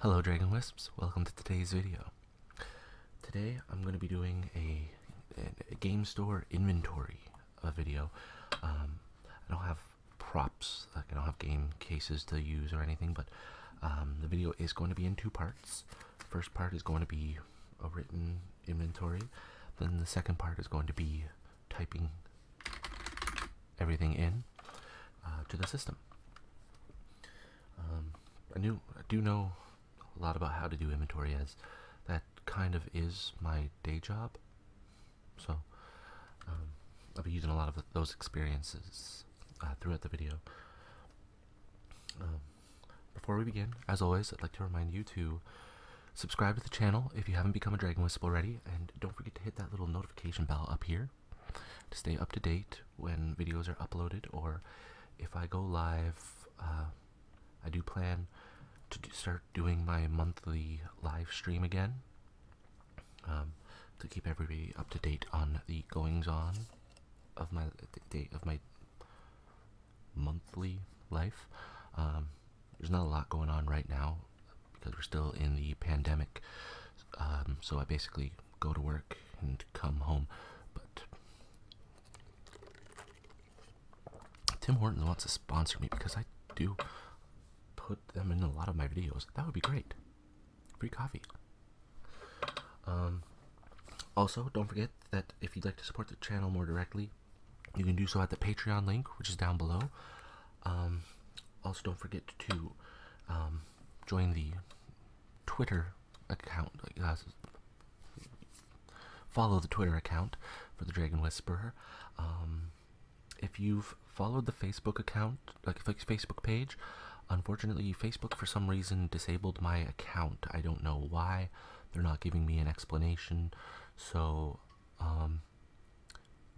Hello Dragon Wisps, welcome to today's video. Today I'm going to be doing a, game store inventory uh, video. Um, I don't have props, like I don't have game cases to use or anything, but um, the video is going to be in two parts. First part is going to be a written inventory, then the second part is going to be typing everything in. Uh, to the system. Um, I knew do know a lot about how to do inventory as that kind of is my day job. So um, I'll be using a lot of those experiences uh, throughout the video. Um, before we begin, as always, I'd like to remind you to subscribe to the channel if you haven't become a Dragon Wisp already, and don't forget to hit that little notification bell up here to stay up to date when videos are uploaded or if I go live. Uh, I do plan to start doing my monthly live stream again um, to keep everybody up to date on the goings on of my day of my monthly life. Um, there's not a lot going on right now because we're still in the pandemic. Um, so I basically go to work and come home. But Tim Hortons wants to sponsor me because I do put them in a lot of my videos. That would be great. Free coffee. Um, also, don't forget that if you'd like to support the channel more directly, you can do so at the Patreon link, which is down below. Um, also, don't forget to um, join the Twitter account. follow the Twitter account for the Dragon Whisperer. Um, if you've followed the Facebook account, like Facebook page, unfortunately, Facebook for some reason disabled my account. I don't know why. They're not giving me an explanation. So, um,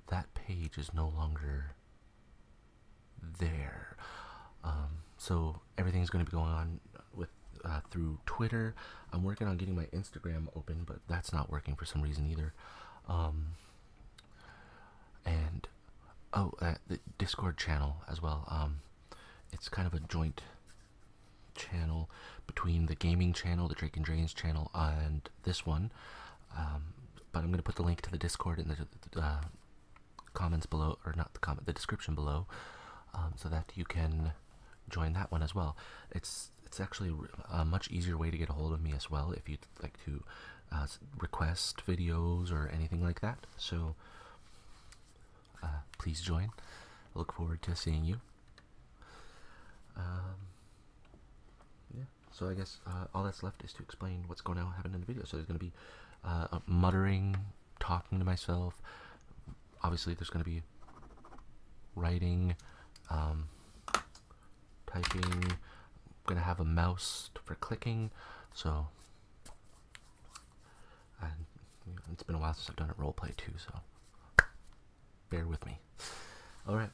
that page is no longer there. Um, so everything's going to be going on with uh, through Twitter. I'm working on getting my Instagram open, but that's not working for some reason either. Um, and oh, uh, the Discord channel as well. Um, it's kind of a joint channel between the gaming channel, the Drake and Drains channel, and this one. Um, but I'm going to put the link to the Discord in the, uh, comments below, or not the comment, the description below, um, so that you can join that one as well. It's it's actually a much easier way to get a hold of me as well if you'd like to uh, request videos or anything like that. So uh, please join. look forward to seeing you. Um, yeah. So I guess uh, all that's left is to explain what's going to happen in the video. So there's going to be uh, muttering, talking to myself. Obviously, there's going to be writing, um, typing. I'm going to have a mouse for clicking. So, it's been a while since I've done a roleplay too, so bear with me. All right.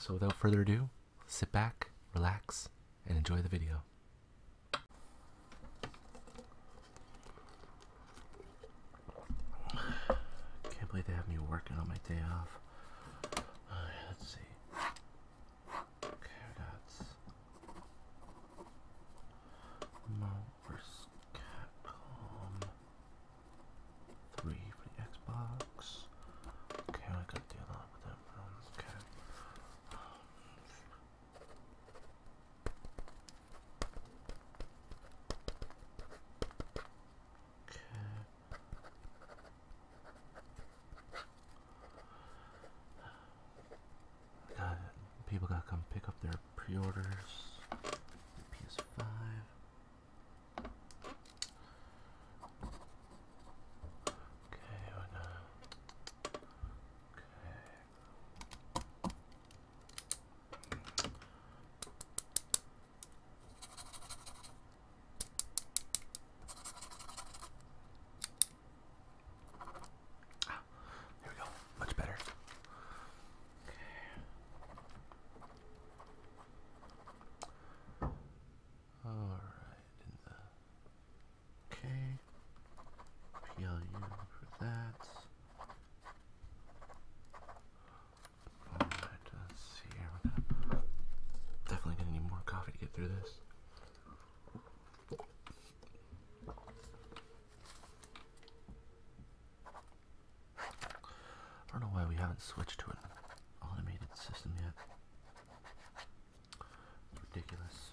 So, without further ado, sit back, relax, and enjoy the video. Can't believe they have me working on my day off. let's see. Carrots. Mulvers Capcom. Three for the Xbox. Okay, I gotta do a with that okay. Okay. Got it. People gotta come pick up their pre-orders. PS5. Okay, Okay. Ah, here we go. Much better. Okay. All right. Okay. PLU for that. let's see here. definitely gonna need more coffee to get through this. I don't know why we haven't switched to an automated system yet. Ridiculous.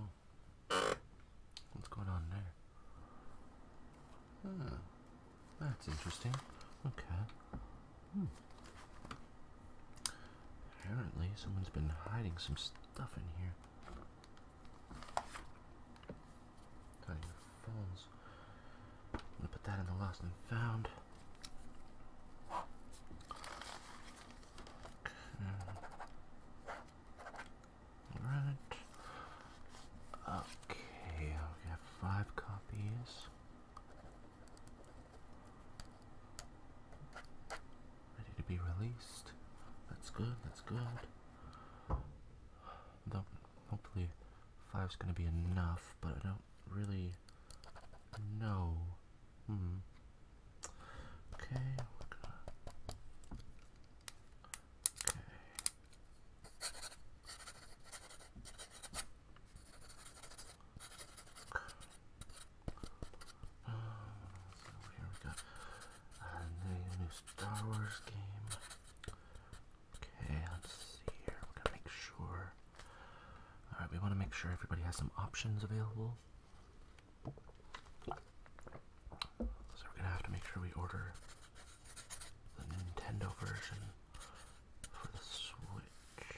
Oh. What's going on there? Ah, that's interesting. Okay. Hmm. Apparently, someone's been hiding some stuff in here. Hiding phones. I'm gonna put that in the lost and found. Alright. Okay, I'll uh, have five copies. Ready to be released. That's good, that's good. Though hopefully five's gonna be enough, but I don't really know Hmm. Okay, we Okay. Uh, here we go. Uh, new Star Wars game. Okay, let's see here. We're gonna make sure. Alright, we want to make sure everybody has some options available. So we're gonna have to make sure we order the Nintendo version for the Switch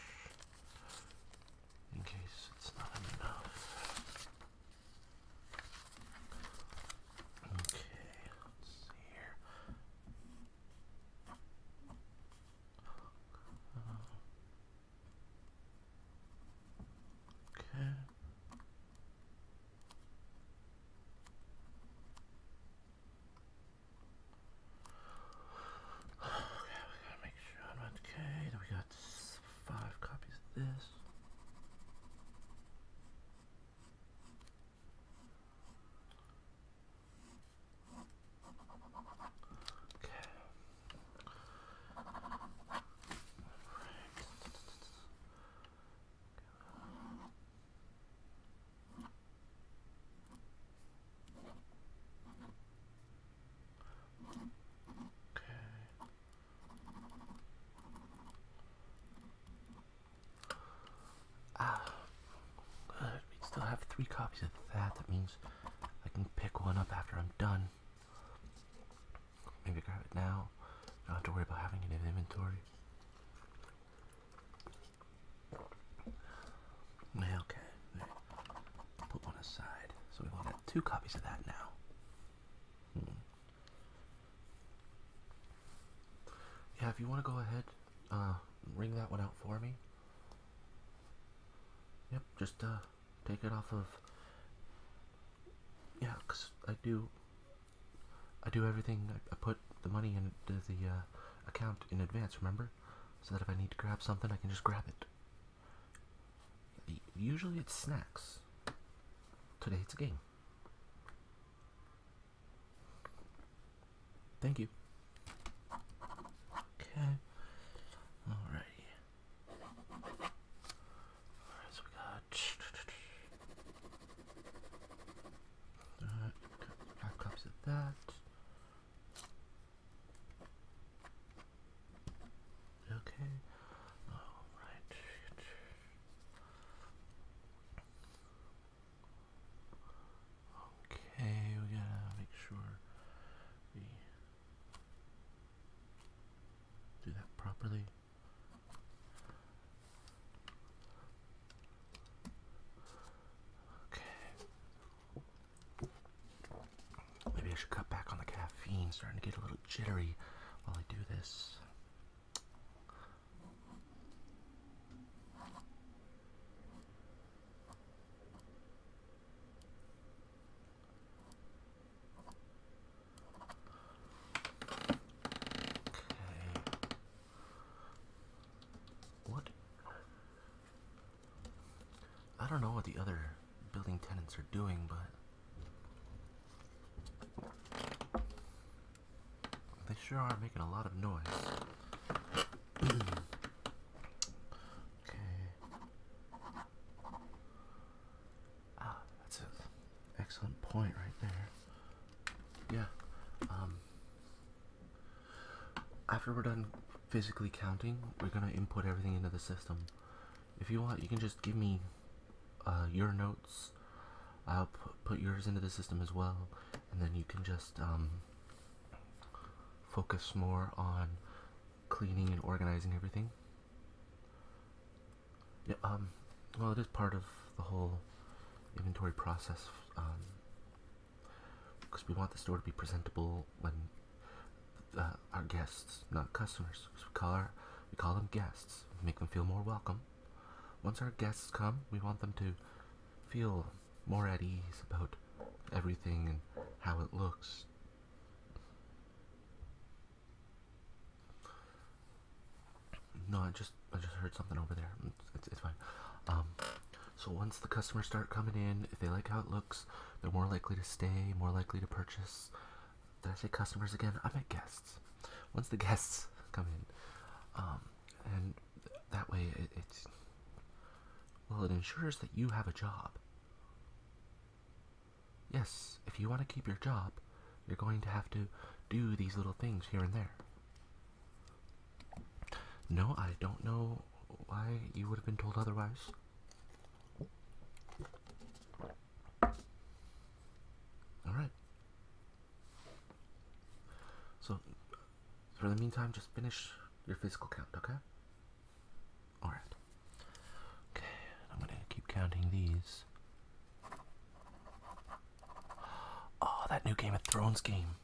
in case it's not enough. Okay, let's see here. Uh, Okay. Okay, we gotta make sure okay. Then we got five copies of this. Okay. Ah, good. We still have three copies of that. That means I can pick one up after I'm done. Maybe grab it now. Don't have to worry about having it in inventory. Yeah, okay. Put one aside. So we've got two copies of that now. Hmm. Yeah, if you want to go ahead, uh, ring that one out for me. Yep, just uh, take it off of yeah because I do I do everything I, put the money into the, uh, account in advance remember so that if I need to grab something I can just grab it usually it's snacks today it's a game thank you okay alrighty Alright, so we got uh, five copies of that. Okay. Alright. Okay, we gotta make sure we do that properly. Okay. Maybe I should cut back on the caffeine. Starting to get a little jittery while I do this. Okay. What? I don't know what the other building tenants are doing, but they sure are making a lot of noise. okay. Ah, that's an excellent point right there. Yeah. Um, after we're done physically counting, we're gonna input everything into the system. If you want, you can just give me uh, your notes. I'll put yours into the system as well, and then you can just um, focus more on cleaning and organizing everything. Yeah, um, well, it is part of the whole inventory process, um, because we want the store to be presentable when uh, our guests, not customers, we call our, we call them guests, make them feel more welcome. Once our guests come, we want them to feel more at ease about everything and how it looks. No, I just I just heard something over there. It's, it's fine. Um, so once the customers start coming in, if they like how it looks, they're more likely to stay, more likely to purchase. Did I say customers again? I meant guests. Once the guests come in, um, and that way it, it's well, it ensures that you have a job. Yes, if you want to keep your job, you're going to have to do these little things here and there. No, I don't know why you would have been told otherwise. Alright. So, for the meantime, just finish your physical count, okay? Alright. Okay, I'm gonna keep counting these. Oh, that new Game of Thrones game.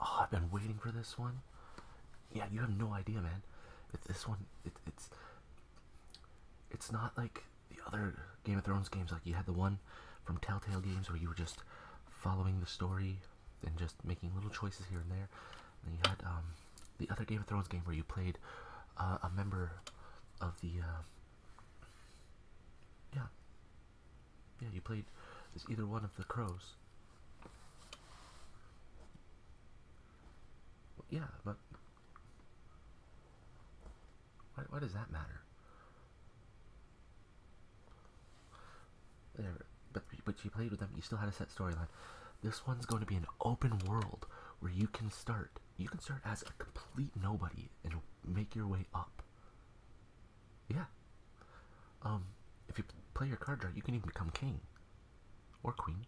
Oh, I've been waiting for this one. Yeah, you have no idea, man. this one, it's it's not like the other Game of Thrones games. Like you had the one from Telltale Games where you were just following the story and just making little choices here and there. And you had um, the other Game of Thrones game where you played uh, a member of the uh, yeah yeah you played as either one of the crows. yeah, but why, why does that matter? but but you played with them. You still had a set storyline. This one's going to be an open world where you can start. You can start as a complete nobody and make your way up. Yeah. Um, if you play your cards right, you can even become king or queen,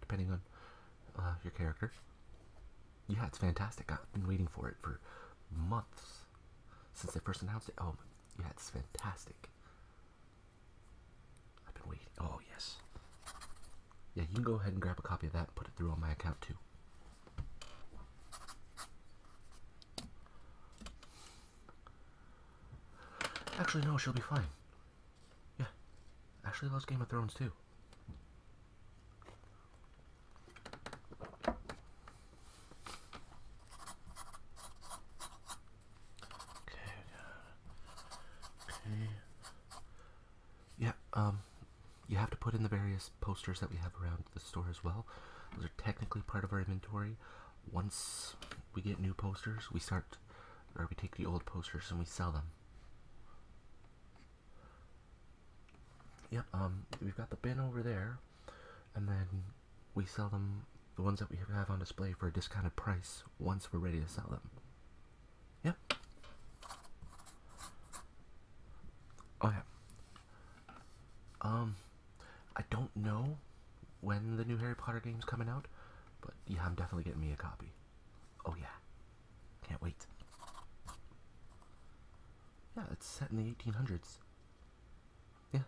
depending on uh, your character. Yeah, it's fantastic. I've been waiting for it for months since they first announced it. Oh, yeah, it's fantastic. I've been waiting. Oh, yes. Yeah, you can go ahead and grab a copy of that and put it through on my account too. Actually, no, she'll be fine. Yeah. Ashley loves Game of Thrones too. Okay, uh, okay. Yeah, um, you have to put in the various posters that we have around the store as well. Those are technically part of our inventory. Once we get new posters, we start, or we take the old posters and we sell them. Yep, um, we've got the bin over there and then we sell them the ones that we have on display for a discounted price once we're ready to sell them. Yep. Oh yeah. Um, I don't know when the new Harry Potter game's coming out, but yeah, I'm definitely getting me a copy. Oh yeah. Can't wait. Yeah, it's set in the 1800s. Yeah.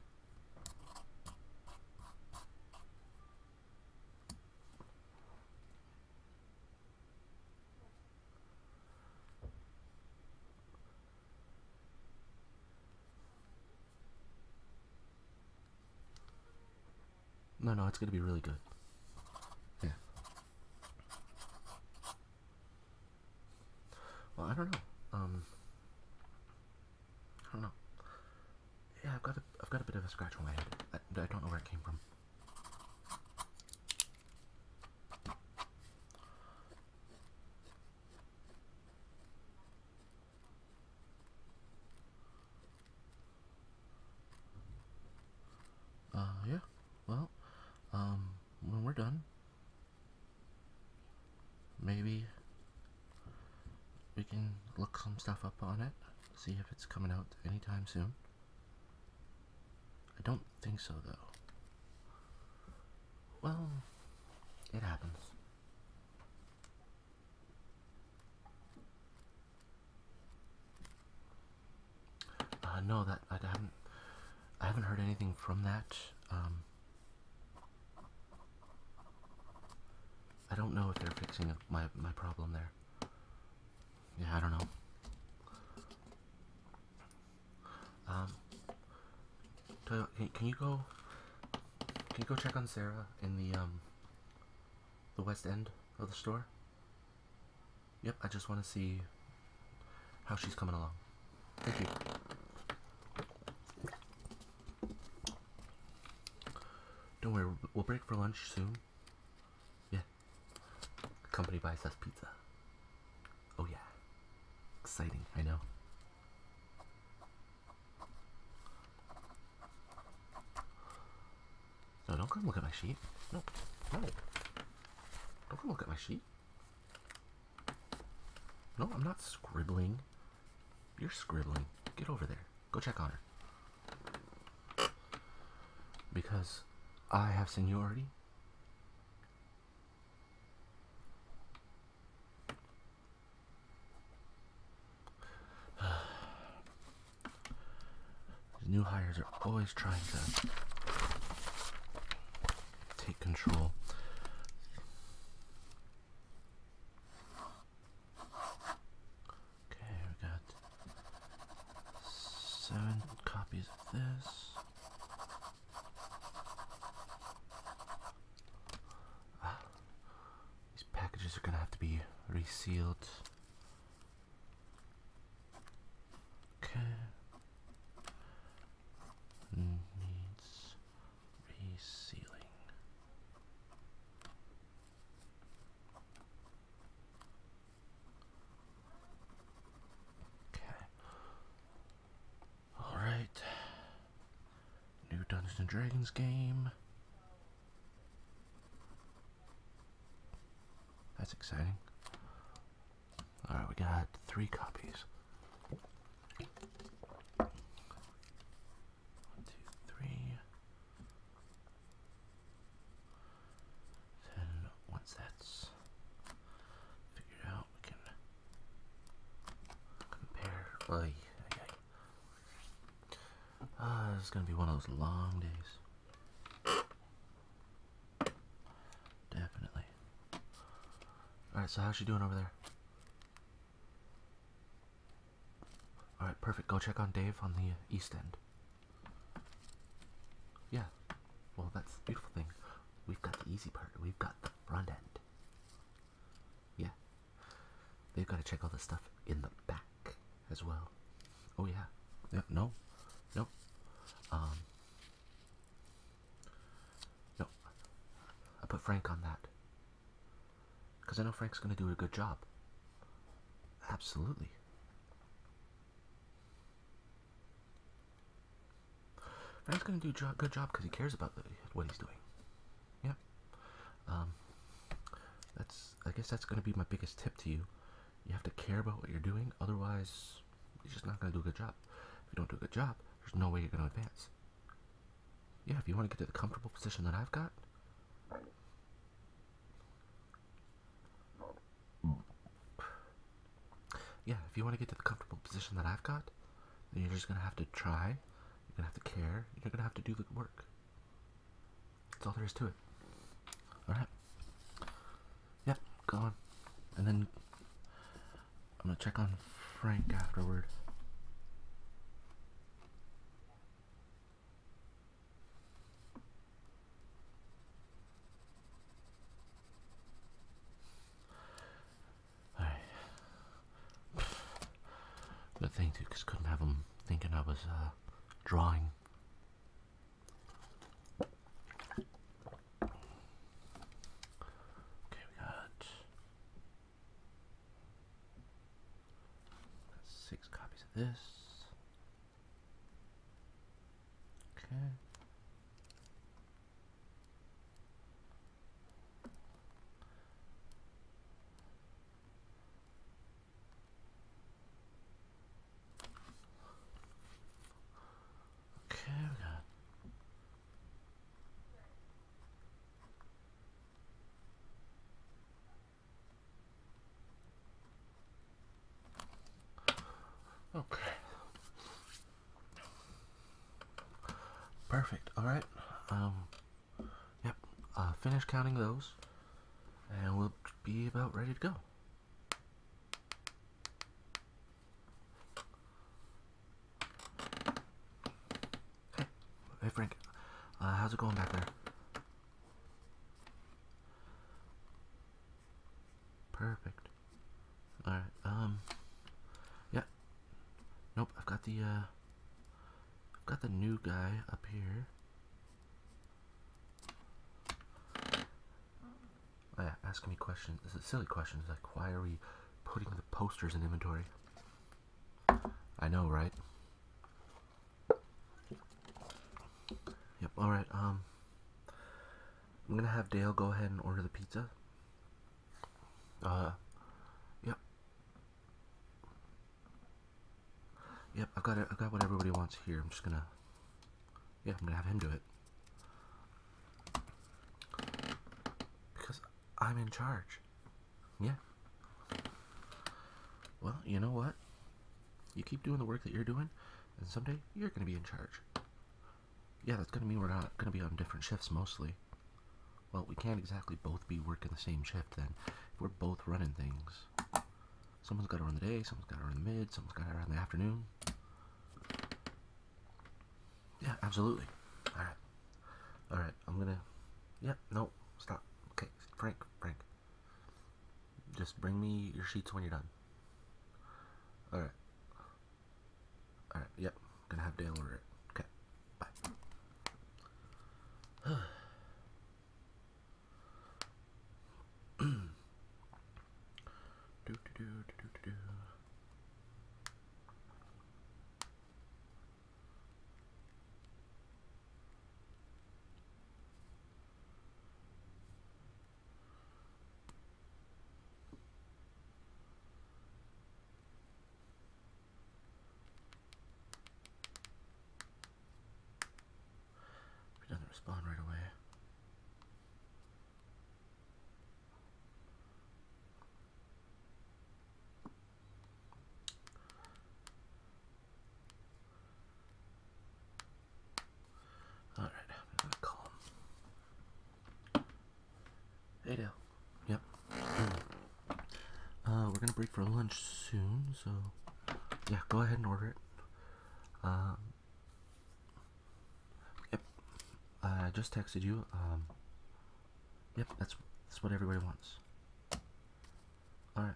No, no, it's going to be really good. Yeah. Well, I don't know. Um, I don't know. Yeah, I've got a, I've got a bit of a scratch on my head. I, I don't know where it came from. Uh, yeah. Well, um, when we're done, maybe we can look some stuff up on it see if it's coming out anytime soon I don't think so though well it happens uh, no that I haven't I haven't heard anything from that um, I don't know if they're fixing my, my problem there. Yeah, I don't know. Um, can you go? Can you go check on Sarah in the um the west end of the store? Yep, I just want to see how she's coming along. Thank you. Don't worry, we'll break for lunch soon. Yeah. company buys us pizza. Oh yeah. Exciting, I know. No, don't come look at my sheet. No, no. Don't come look at my sheet. No, I'm not scribbling. You're scribbling. Get over there. Go check on her. Because I have seniority. New hires are always trying to take control. Okay, we got seven copies of this. Ah, these packages are gonna have to be resealed. Okay. Needs resealing. Okay. All right. New Dungeons and Dragons game. That's exciting. All right, we got three copies. One, two, three. Then once that's figured out, we can compare. Oy, okay. Ah, this is gonna be one of those long days. Definitely. Alright, so how's she doing over there? Alright, perfect. Go check on Dave on the uh, east end. Yeah. Well, that's the beautiful thing. We've got the easy part. We've got the front end. Yeah. They've got to check all the stuff in the back as well. Oh, yeah. yeah no. No. Um. No. I put Frank on that. Because I know Frank's going to do a good job. Absolutely. Frank's going to do a good job because he cares about what he's doing. Yeah. Um, that's. I guess that's going to be my biggest tip to you. You have to care about what you're doing. Otherwise, you're just not going to do a good job. If you don't do a good job, there's no way you're going to advance. Yeah, if you want to get to the comfortable position that I've got. Yeah, if you want to get to the comfortable position that I've got, then you're just going to have to try, you're going to have to care, you're going to have to do the work. That's all there is to it. Alright. Yeah, go on. And then I'm going to check on Frank afterward. Alright. Good thing too, couldn't have them thinking I was uh, drawing. Okay, we got Got six copies of this. Okay. Okay, Okay. Perfect. All right. Um, yep. Uh, finish counting those, and we'll be about ready to go. Hey, hey Frank, uh, how's it going back there? Perfect. All right. Um. Yeah. Nope. I've got the. Uh, I've got the new guy up here. Oh, yeah, asking me questions. Silly questions like why are we putting the posters in inventory? I know, right? Yep, alright, um... I'm gonna have Dale go ahead and order the pizza. Uh... huh. Yep. Yep, I got, it, I got what everybody wants here. I'm just gonna... Yeah, I'm gonna have him do it. Because I'm in charge. Yeah. Well, you know what? You keep doing the work that you're doing, and someday you're going to be in charge. Yeah, that's going to mean we're not going to be on different shifts mostly. Well, we can't exactly both be working the same shift then. If we're both running things. Someone's got to run the day, someone's got to run the mid, someone's got to run the afternoon. Yeah, absolutely. Alright. All right, I'm gonna. Yep, yeah, no, stop. Okay, Frank, Frank. Just bring me your sheets when you're done. All right. All right. Yep, gonna have Dale order it. Okay, bye. do do do do do do. If it doesn't respond right away. Alright, I'm gonna call him. Hey Dale. Yep. uh, we're gonna break for lunch soon, so yeah, go ahead and order it. Um, yep, I just texted you. Um, yep, that's that's what everybody wants. Alright.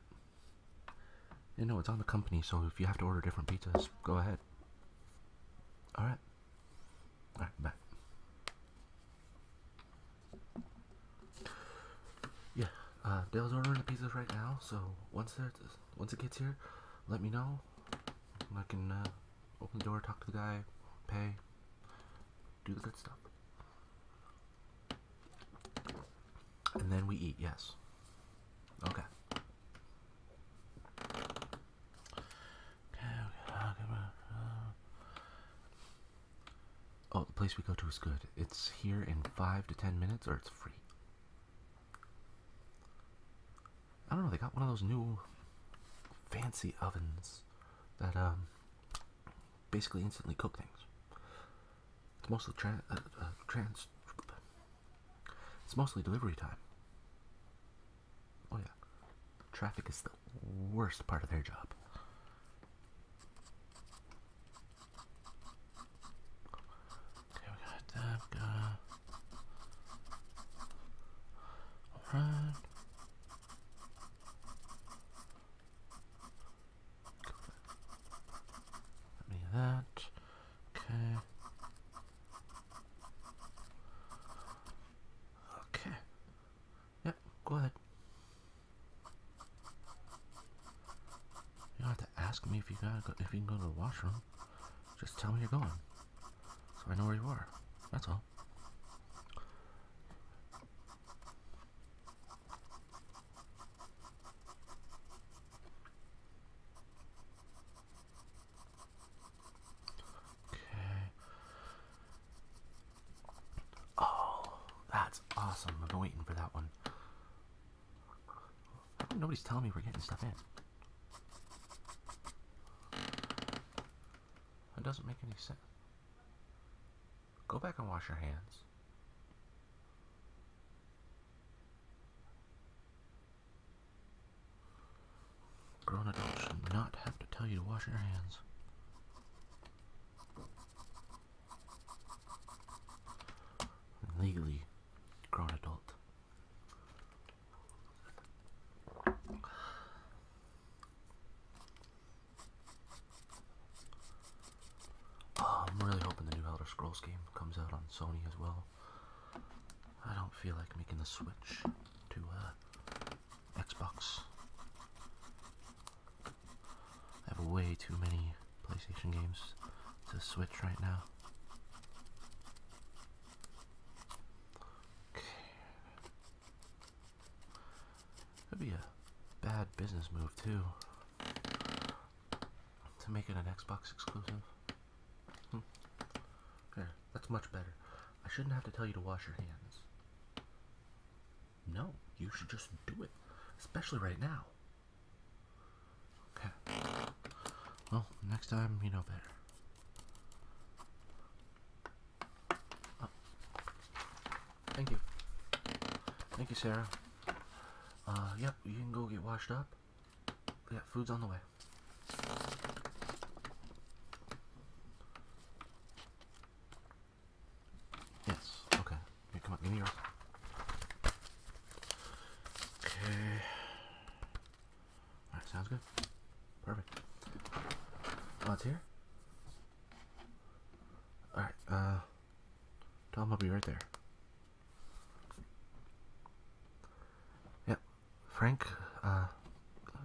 You know, it's on the company, so if you have to order different pizzas, go ahead. Alright. Alright, bye. Yeah, uh, Dale's ordering the pizzas right now, so once, once it gets here, let me know. I can uh, open the door, talk to the guy, pay, do the good stuff. And then we eat, yes. Okay. Oh, the place we go to is good. It's here in five to ten minutes, or it's free. I don't know. They got one of those new fancy ovens that um basically instantly cook things. It's mostly tra uh, uh, trans. It's mostly delivery time. Oh yeah, traffic is the worst part of their job. Okay, we got that. All right. Let me that. Okay. Okay. Yep, go ahead. You don't have to ask me if you got go if you can go to the washroom. Just tell me you're going. So I know where you are. That's all. Okay. Oh, that's awesome. I've been waiting for that one. Nobody's telling me we're getting stuff in. That doesn't make any sense. Go back and wash your hands. Grown adults should not have to tell you to wash your hands. Legally grown adult. Um, I'm really hoping the new Elder Scrolls game comes out on Sony as well. I don't feel like making the switch to uh, Xbox. I have way too many PlayStation games to switch right now. Okay. It'd be a bad business move too to make it an Xbox exclusive. Hmm. that's much better. I shouldn't have to tell you to wash your hands. No, you should just do it, especially right now. Okay. Well, next time you know better. Oh. Thank you. Thank you, Sarah. Uh, yep, you can go get washed up. Yeah, food's on the way. Yes, okay. come on, give me your... Okay. Alright, sounds good. Perfect. Oh, here? Alright, uh... Tom, will be right there. Yep, Frank, uh,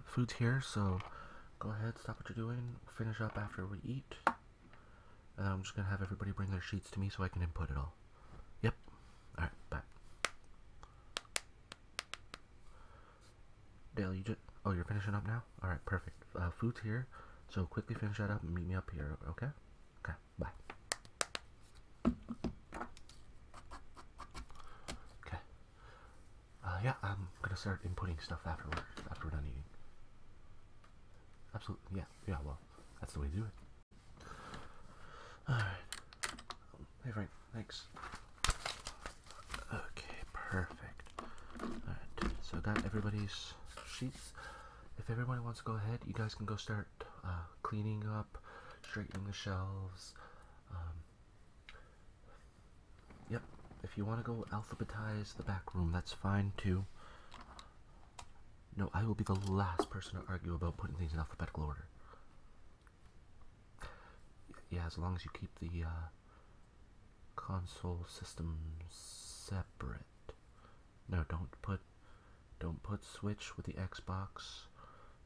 food's here, so go ahead, stop what you're doing, finish up after we eat. And I'm just gonna have everybody bring their sheets to me so I can input it all. Yep. Alright, bye. Dale, you just. Oh, you're finishing up now? All right, perfect. Uh, food's here. So quickly finish that up and meet me up here, okay? Okay, bye. Okay. Uh, yeah, I'm gonna start inputting stuff afterward, after we're done eating. Absolutely, yeah, yeah, well, that's the way to do it. Alright. Hey, Frank, thanks. Okay, perfect. Alright, so I got everybody's sheets if everybody wants to go ahead, you guys can go start uh, cleaning up, straightening the shelves. Um, yep, if you want to go alphabetize the back room, that's fine too. No, I will be the last person to argue about putting things in alphabetical order. Yeah, as long as you keep the uh, console system separate. No, don't put don't put Switch with the Xbox.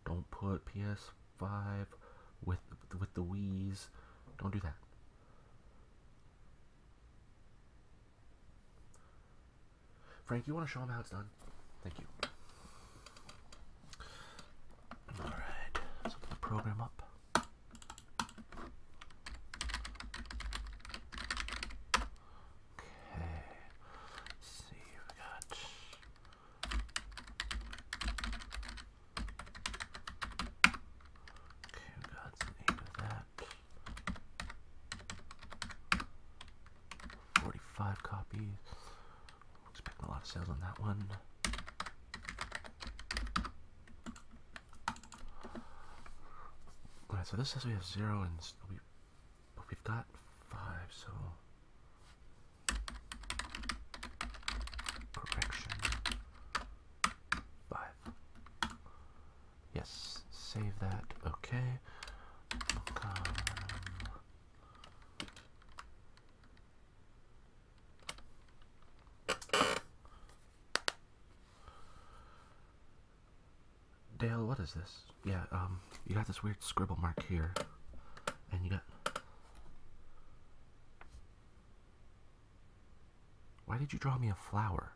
Don't put PS5 with with the Wii's. Don't do that. Frank, you want to show him how it's done? Thank you. All right, let's open the program up. Okay, see, we got. Okay, we got eight of that. 45 copies. Expecting a lot of sales on that one. Alright, so this says we have zero and we, but we've got five, so correction five. Yes, save that. Okay. Dale, what is this? Yeah, um, you got this weird scribble mark here, and you got. Why did you draw me a flower?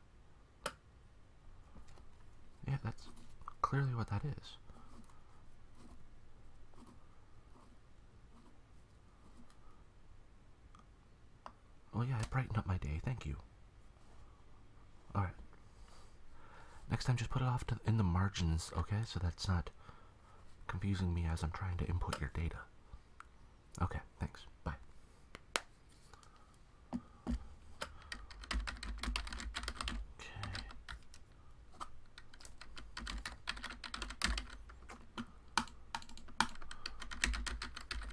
Yeah, that's clearly what that is. Oh, yeah, it brightened up my day. Thank you. Alright. Next time, just put it off in the margins, okay? So that's not confusing me as I'm trying to input your data. Okay, thanks. Bye. Okay.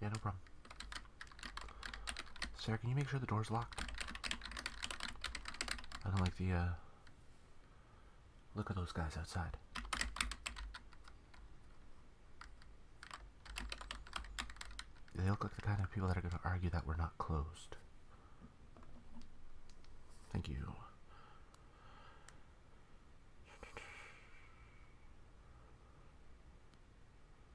Yeah, no problem. Sarah, can you make sure the door's locked? I don't like the, uh, Look of those guys outside. They look like the kind of people that are going to argue that we're not closed. Thank you.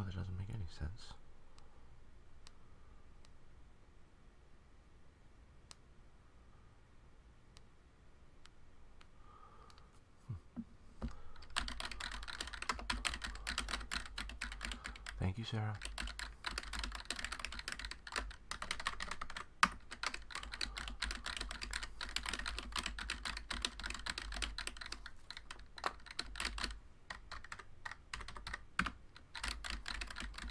Oh, that doesn't make any sense. Thank you, Sarah.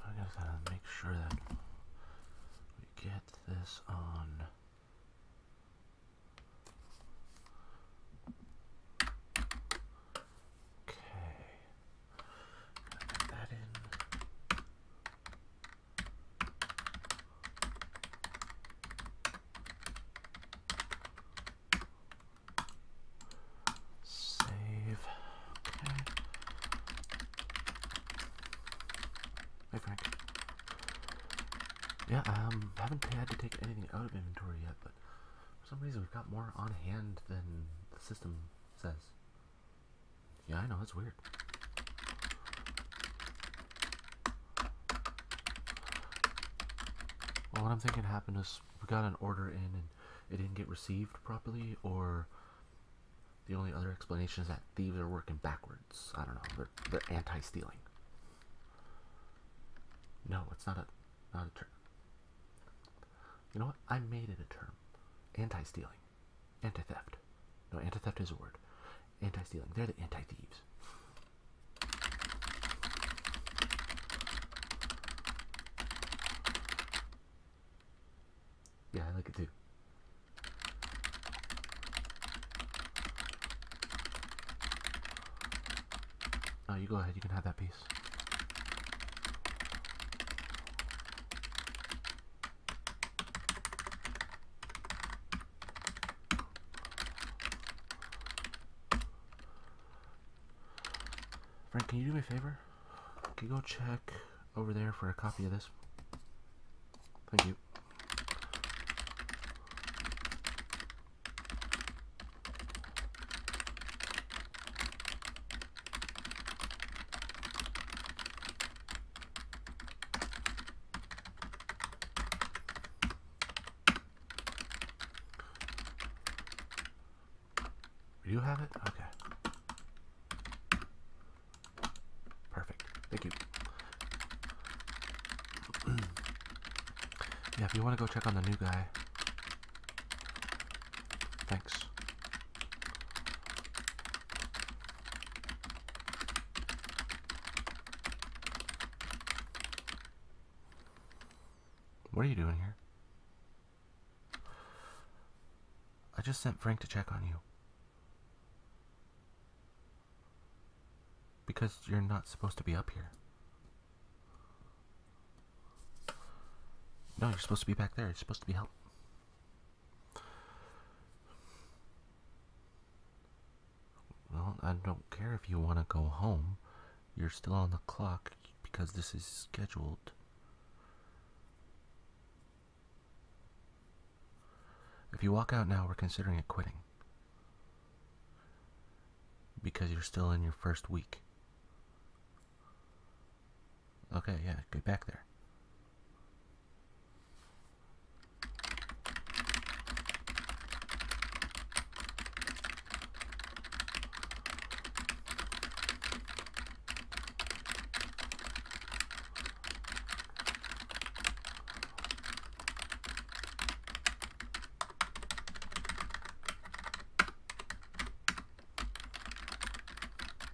I just gotta make sure that we get this on. Okay. Add that in. Save. Okay. Hey Frank. Yeah, um, haven't had to take anything out of inventory yet, but for some reason we've got more on hand than the system says. Yeah, I know, that's weird. Well, what I'm thinking happened is we got an order in and it didn't get received properly, or the only other explanation is that thieves are working backwards. I don't know, they're, they're anti-stealing. No, it's not a, not a trick. You know what? I made it a term. Anti-stealing. Anti-theft. No, anti-theft is a word. Anti-stealing. They're the anti-thieves. Yeah, I like it too. Oh, you go ahead. You can have that piece please. Frank, can you do me a favor? Can you go check over there for a copy of this? Thank you. You have it? Okay. Perfect. Thank you. yeah, if you want to go check on the new guy. Thanks. What are you doing here? I just sent Frank to check on you. Because you're not supposed to be up here. No, you're supposed to be back there. You're supposed to be help. Well, I don't care if you want to go home. You're still on the clock because this is scheduled. If you walk out now, we're considering it quitting. Because you're still in your first week. Okay, yeah, Get back there.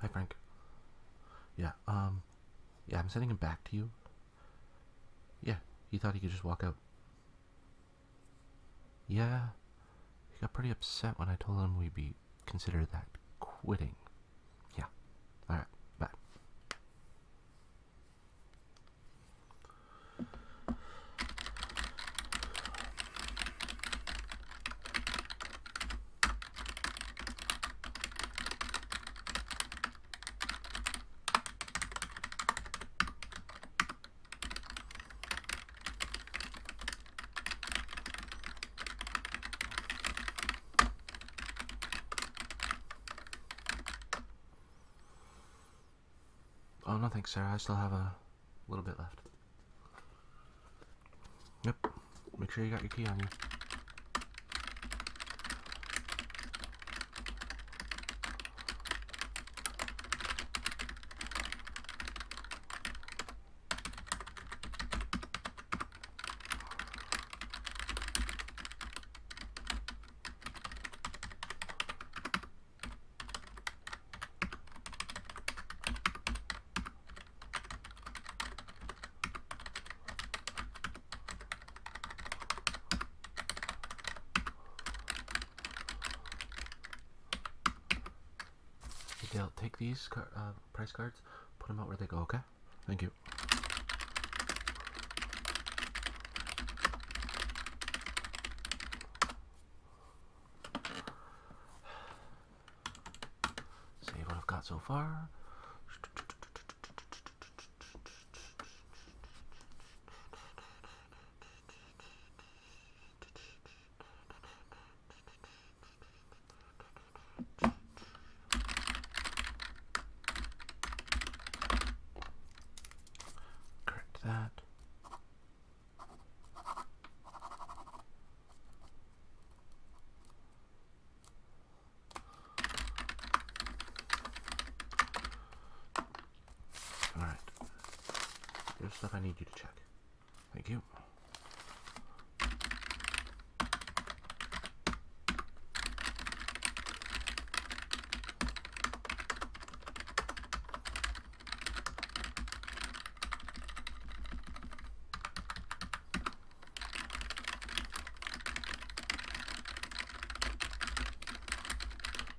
Hi, Frank. Yeah, um, yeah, I'm sending him back to you. Yeah, he thought he could just walk out. Yeah, he got pretty upset when I told him we'd be consider that quitting. Yeah, alright, bye. Oh, nothing, thanks, Sarah. I still have a a little bit left. Yep. Make sure you got your key on you. Okay, will take these uh, price cards, put them out where they go, okay? Thank you. See what I've got so far. Correct that. All right. There's stuff I need you to check. Thank you.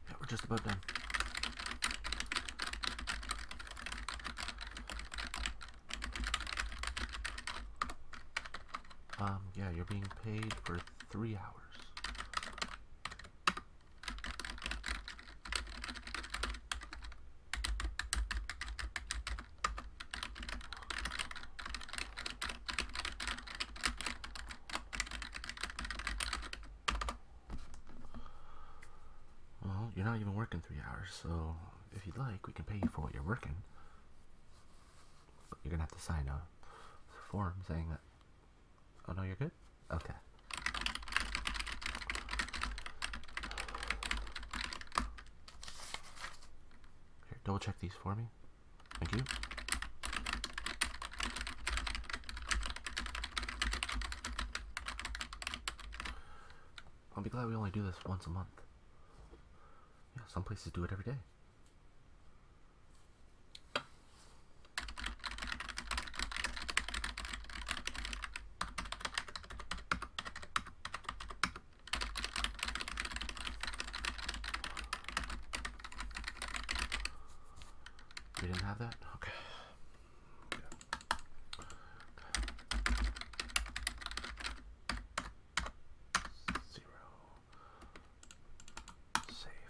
Yeah, we're just about done. Um, yeah, you're being paid for three hours. Well, you're not even working three hours, so if you'd like, we can pay you for what you're working. But you're gonna have to sign a form saying that. Oh no, you're good? Okay. double check these for me. Thank you. I'll be glad we only do this once a month. Yeah, some places do it every day. We didn't have that? Okay. Zero. Save.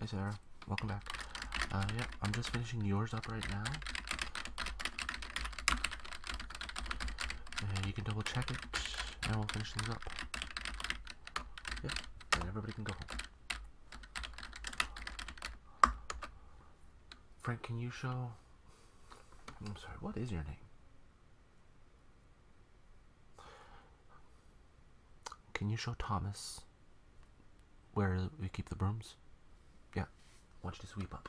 Hey Sarah, welcome back. Uh, yeah, I'm just finishing yours up right now. And you can double check it, and we'll finish things up. Yeah, and everybody can go home. Frank, can you show I'm sorry, what is your name? Can you show Thomas where we keep the brooms? Yeah, watch this sweep up.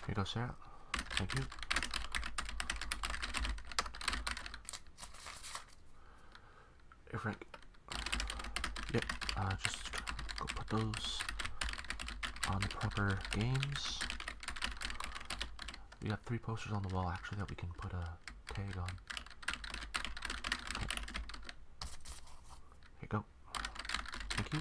Here you go, Sarah. Thank you. Hey, Frank. Yep, uh, just go put those on the proper games. We have three posters on the wall, actually, that we can put a uh, tag on. There you go. Thank you.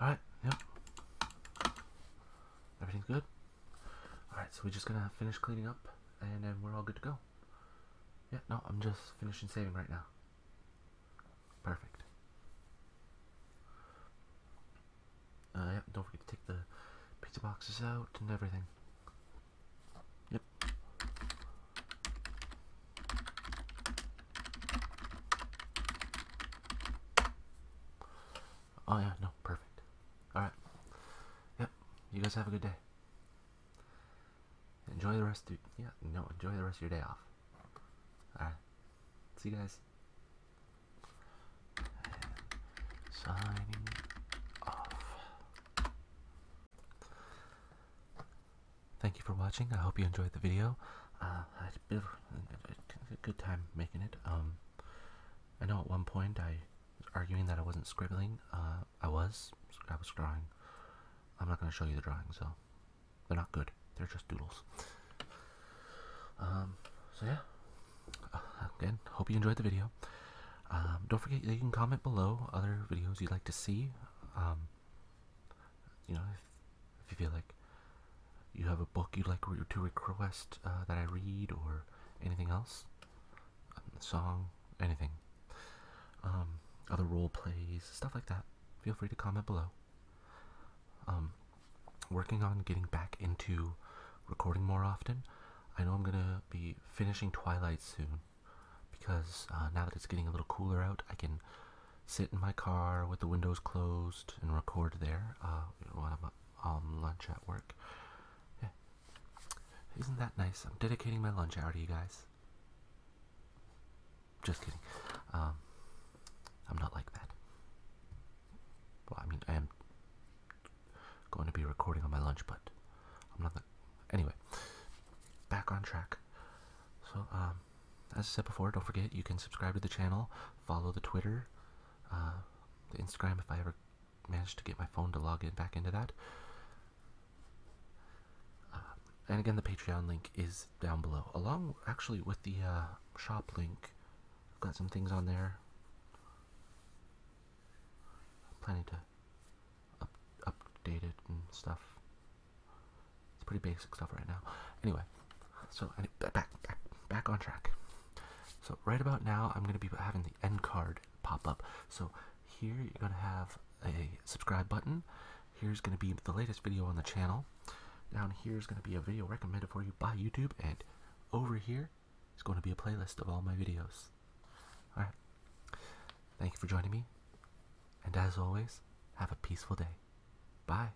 Alright, Yep. Everything's good? Alright, so we're just gonna finish cleaning up and then we're all good to go. Yeah, no, I'm just finishing saving right now. Perfect. Uh, don't forget to take the pizza boxes out and everything. Yep. Oh yeah, no, perfect. Alright. Yep. You guys have a good day. Enjoy the rest of yeah, no, enjoy the rest of your day off. Alright. See you guys. Signing off. Thank you for watching. I hope you enjoyed the video. Uh, that's a, good time making it. Um, I know at one point I was arguing that I wasn't scribbling. Uh, I was. I was drawing. I'm not going to show you the drawings, so they're not good. They're just doodles. Um, so yeah. Uh, again, hope you enjoyed the video. Um, don't forget you can comment below other videos you'd like to see. Um, you know, if you feel like you have a book you'd like to request uh, that I read or anything else, a um, song, anything, um, other role plays, stuff like that, feel free to comment below. Um, working on getting back into recording more often. I know I'm gonna be finishing Twilight soon because uh, now that it's getting a little cooler out, I can sit in my car with the windows closed and record there. Uh, you know, when lunch at work. Isn't that nice? I'm dedicating my lunch hour to you guys. Just kidding. Um, I'm not like that. Well, I mean, I am going to be recording on my lunch, but I'm not Anyway, back on track. So, um, as I said before, don't forget you can subscribe to the channel, follow the Twitter, uh, Instagram if I ever manage to get my phone to log in back into that. Uh, and again, the Patreon link is down below, along actually with the uh, shop link. I've got some things on there. planning to update it and stuff. It's pretty basic stuff right now. Anyway, so back back back on track. So right about now, I'm gonna be having the end card pop up. So here you're gonna have a subscribe button. Here's gonna be the latest video on the channel. Down here is gonna be a video recommended for you by YouTube, and over here is gonna be a playlist of all my videos. All right. Thank you for joining me. And as always, have a peaceful day. Bye.